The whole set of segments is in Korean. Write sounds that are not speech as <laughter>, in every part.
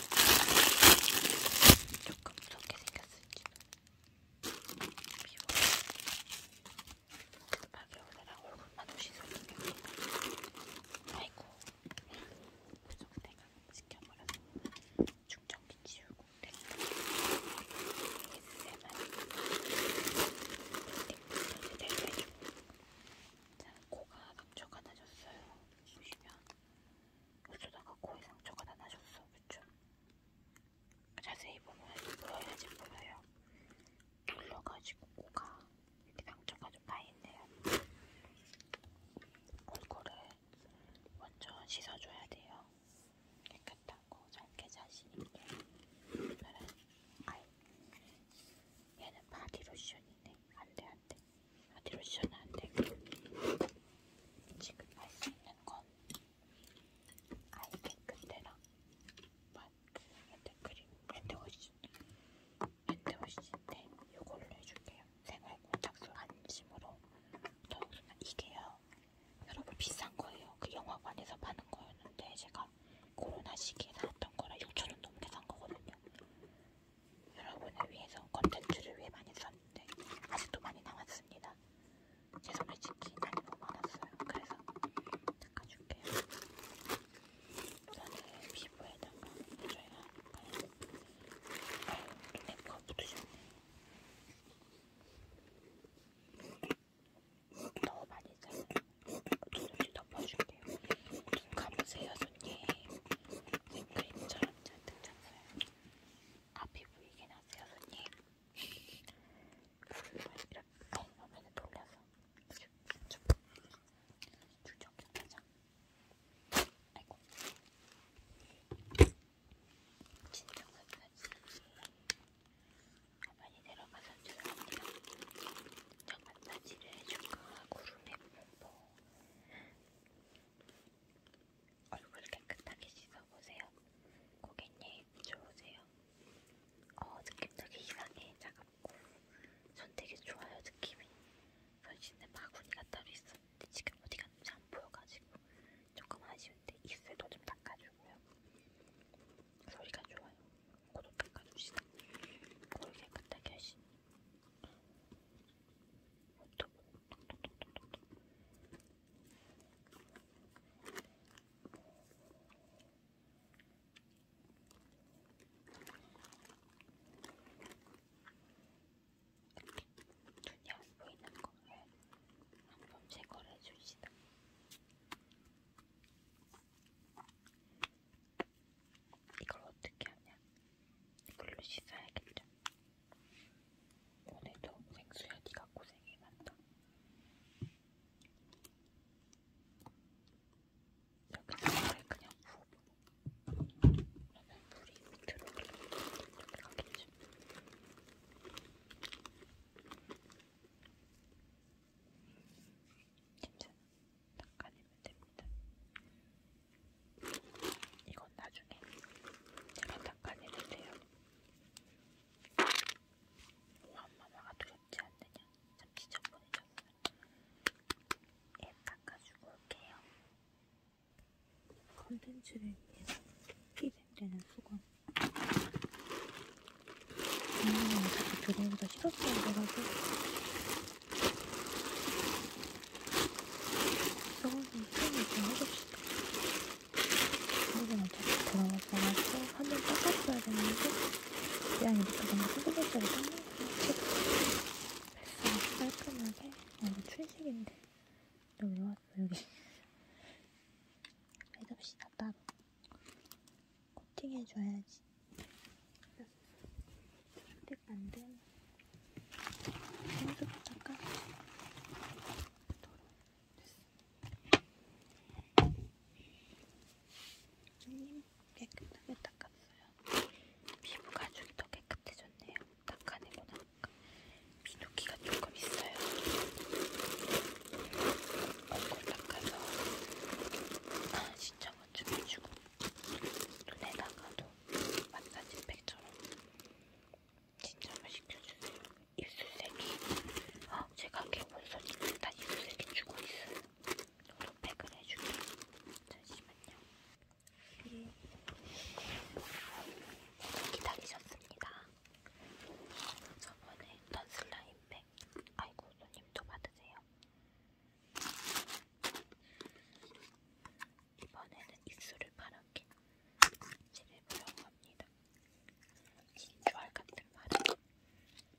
조금 무섭게 생겼을지. 미워. 박이 오느랑 얼굴만 오시더니 아이고. 무슨 내가 지켜버렸어. 충전기 치우고 됐다. ASMR. 자, 코가 감초가 나졌어요. 보시면 어쩌다가 코에 상처가 다 나셨어, 그쵸? 자세히 보면 보여야지 보여요. 눌러가지고 코가 이렇게 상처가 좀 나있네요. 골고루 먼저 씻어줘야 돼요. 깨끗하고 잘게 자신있게. 오늘은 아이 얘는 바디로션이네. 안돼 안돼 어디로 지어놔 안돼 지금 할 수 있는 건 아이 캔데랑 마트 뭐, 핸드크림 핸드워시 핸드워시인데 요걸로 해줄게요 생활공작소 안심으로 더욱나 이게요 여러분 비싼 거예요 그 영화관에서 파는 거였는데 제가 코로나 시기에 나왔던 거라 6천원 넘게 산 거거든요 여러분을 위해서 컨텐츠를 위해 많이 썼는데 아직도 많이 남았습니다. 제 손에 찍기 많이 뽑아놨어요. 그래서 닦아줄게요. 저는 피부에다가 해줘야 하니까요. 아유, 눈에 뭐가 붙으셨네. 너무 많이 자요. 어쩔 수 없이 덮어줄게요. 눈 감으세요, 손님. 그림처럼 잔뜩 잤어요. 앞이 보이긴 하세요, 손님. 이렇게 화면을 돌려서 출정해보자. 아이고. 진정사까지 가만히 내려가서 죄송합니다. 정말 마사지를 해주고 구름에 뭐 얼굴 깨끗하게 씻어보세요. 고객님, 좋으세요? 어, 느낌 되게 이상해. 차갑고. 전 되게 좋아요, 느낌이. 변신에 바구니가 따로 있었는데 지금 어디 갔는지 안 보여가지고 조금 아쉬운데 입술도 좀 닦아주고요. 소리가 좋아요. 고도 닦아주시다. 거울 깨끗하게 하시니. 눈이 안 보이는 거에 한번 제거를 해줍시다. 이걸 어떻게 하냐? 이걸로 씻어야겠죠. 오늘도 생수야 네가 고생이 많다. 이렇게 물에 그냥 부어보고 그러면 물이 밑으로 이렇게 가겠죠. 괜찮아. 닦아내면 됩니다. 이건 나중에 제가 닦아내주세요. 왕마마가 뭐 두렵지 않느냐? 참 지저분해졌어요. 앱 닦아주고 올게요. 컨텐츠를 위해서 희생되는 수건. 분명히 어차피 들어오기가 싫었던 거라서 썩어서 손을 좀 해줍시다. 이거는 어차피 돌아왔어가지고 한번 닦았어야 되는데 그냥 이렇게 너무 소금물자를 닦는 거야. 뱃살 깔끔하게 아 이거 출식인데 너왜 왔어 여기 해줍시다 따로 코팅해줘야지 선택 안된 선택 잠깐 손님 깨끗하게 닦았어요. 피부가 아주 더 깨끗해졌네요. 닦아내고 나니까 미도기가 조금 있어요. 얼굴 닦아서 아, 신청을 준비주고 눈에다가도 마사지팩처럼 진짜 맛있켜주세요. 입술색이 아, 제가 개본소리 일단 입술색이 주고 있어요. 저도 팩을 해줄게요. 잠시만요. 음. 기다리셨습니다. 저번에 했던 슬라임 팩 아이고 손님도 받으세요. 이번에는 입술을 파랗게 칠해보려고 합니다. 진주알 같은 파란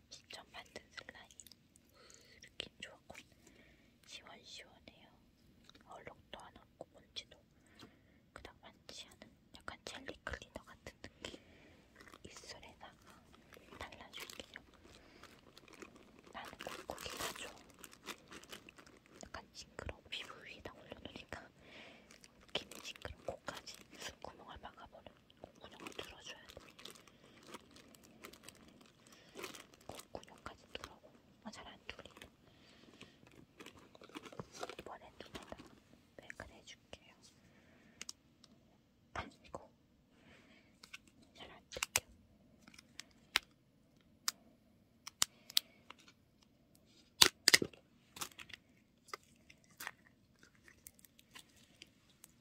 직접 만든 슬라임 느낌 좋았고 시원시원해요. 얼룩도 안 없고 먼지도 그닥 많지 않은 약간 젤리 클리너 같은 느낌 입술에다가 발라줄게요. 나는 꾹꾹이 가줘. 약간 싱그러운 피부 위에다 올려놓으니까 김이 싱그러운 코까지 구멍을 막아버려. 콧구멍을 뚫어줘야 돼. 콧구멍까지 뚫어고 어, 아, 잘안 뚫리네. 이번엔 눈에다 맥을 해줄게요. 아이고. 잘 안 뚫겨.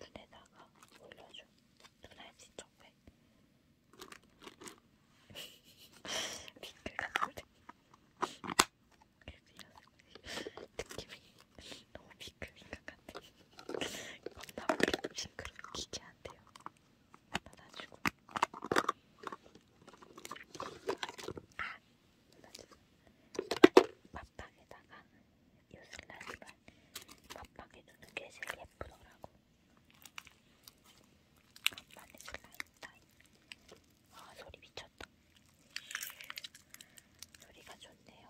눈에다가 올려줘. 눈알 진짜 왜? 핑크가 돌래. 그래서 느낌이 너무 미끌미끌 같아. 겁나 핑크로 기괴한데요. 받아주고 아! 밥박에다가 요 슬라임을 밥박에 두는 게 제일 예쁘더라고 밥박에 슬라임 따위 아 소리 미쳤다 소리가 좋네요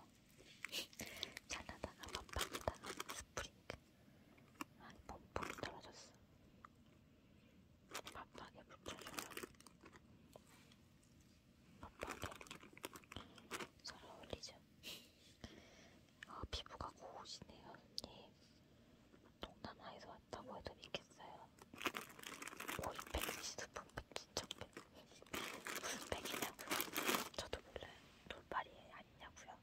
잘하다가 <laughs> 밥박에다가 스프링크 아니 폭풍이 떨어졌어. 바쁘게 붙여줘요. 바쁘게 잘 어울리죠? 아 피부가 고우시네요 언니. 동남아에서 왔다고 해도 믿겠어요. 오이백, 시드품백, 기척백 무슨 백이냐고요? 저도 몰라요. 돌발이 아니냐고요?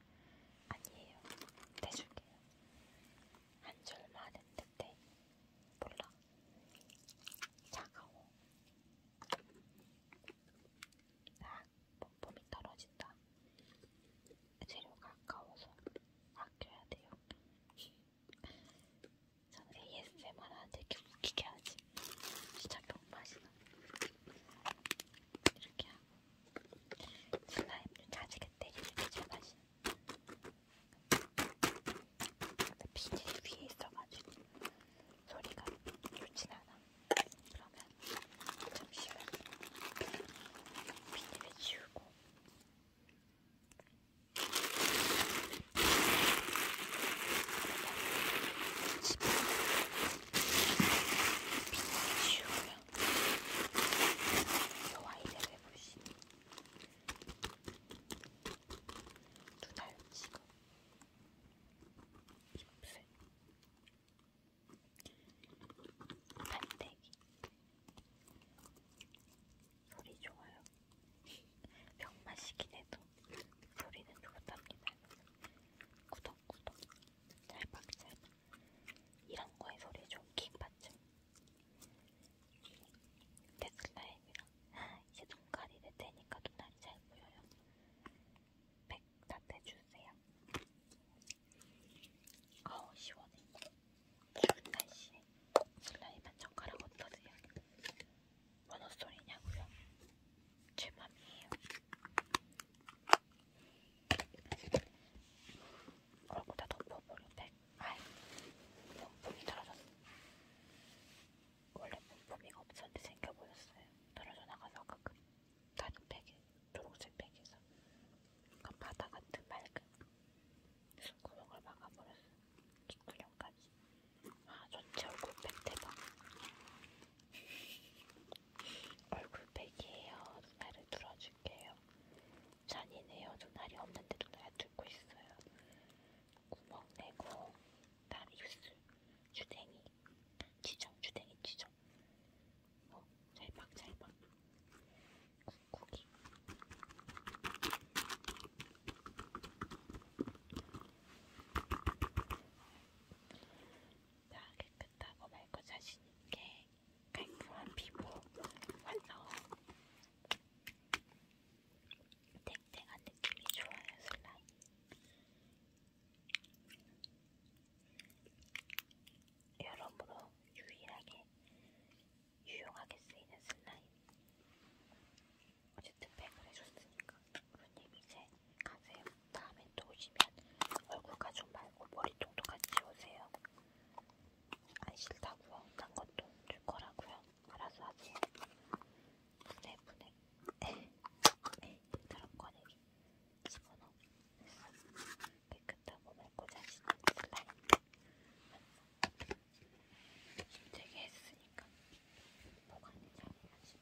아니에요. 대줄게요. 한 줄만 했는데 몰라. 차가워. 딱 아, 폼폼이 떨어진다. 재료가 아까워서 아껴야 돼요. 저는 ASMR 하는데 이렇게 웃기게 하지. 진짜 병맛이나. 이렇게 하고 슬라임도 자지게때리 되게 잘 마시는 근데 비닐 위에 있어가지고 소리가 좋진 않아 그러면 잠시만 비닐을 지우고 비닐을 지우면 소화이대로 해보시니 두달 지금 입술 반대기 소리 좋아요. 병맛이긴 해도 소리는 좋답니다. 구독구독 짤박짤박 이런 거에 소리 좀킥 받죠. 데슬라임이랑 이제 눈깔이 될 테니까 눈알이 잘 보여요. 백다 대주세요. 아우 시원해. 추운 날씨에 슬라임 한 젓가락 얹어드려요. 원어 소리냐고요? 제 맘이에요. 그러고 다 덮어버렸대. 아이, 본품이 떨어졌어. 원래 본품이 없었는데 생겨 보였어요. 떨어져 나가서 아까 그 다른 팩에, 초록색 팩에서. 그러니까 바다 같은 맑은 손구멍을 막아버렸어. 뒷구멍까지. 아, 전체 얼굴 팩 대박. 얼굴팩이에요. 눈알을 뚫어줄게요. 잔이네요. 눈알이 없는데 눈알 뚫고 있어요. 구멍 내고 다리 입술 주댕이 지정 주댕이 지정 어, 잘박잘박 꾹꾹이 자, 깨끗하고 맑고 자신있게 깔끔한 피부 완성! 탱탱한 느낌이 좋아요, 슬라임. 여러모로 유일하게 유용하게 쓰이는 슬라임. 어쨌든 팩을 해줬으니까 우루님 이제 가세요. 다음에 또 오시면 얼굴 가죽 말고 머리통도 같이 오세요. 안 싫다고요. 딴 것도 줄 거라고요. 알아서 하세요. 네, 분해 분해. 다른 꺼내기. 집어넣어. 깨끗하고 맑고 자신은 슬라임. 힘들게 했으니까 보관이 잘해야지.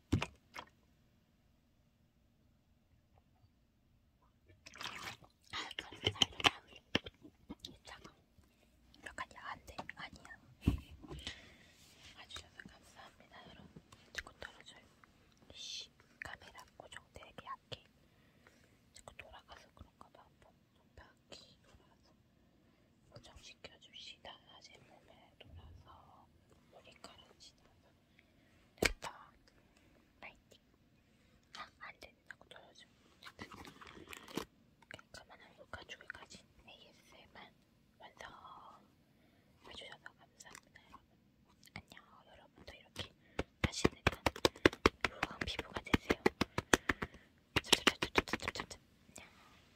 아, 그래, 살다. 이따가 약간 야한데? 아니야. 봐주셔서 감사합니다, 여러분. 자꾸 떨어져요. 씨, 카메라 고정 되게 약해. 자꾸 돌아가서 그런가 봐. 한 번, 한 바퀴 돌아가서. 고정시켜 줍시다. 다시 몸에 돌아서 머리카락 지나서 됐다. 파이팅. 아, 안 된다고 돌려줘. 깔끔한 얼굴과 조개까지 ASMR 완성. 해주셔서 감사합니다, 여러분. 안녕, 여러분도 이렇게 다시는 건로한 피부가 되세요. 찹찹찹찹찹찹찹. 안녕.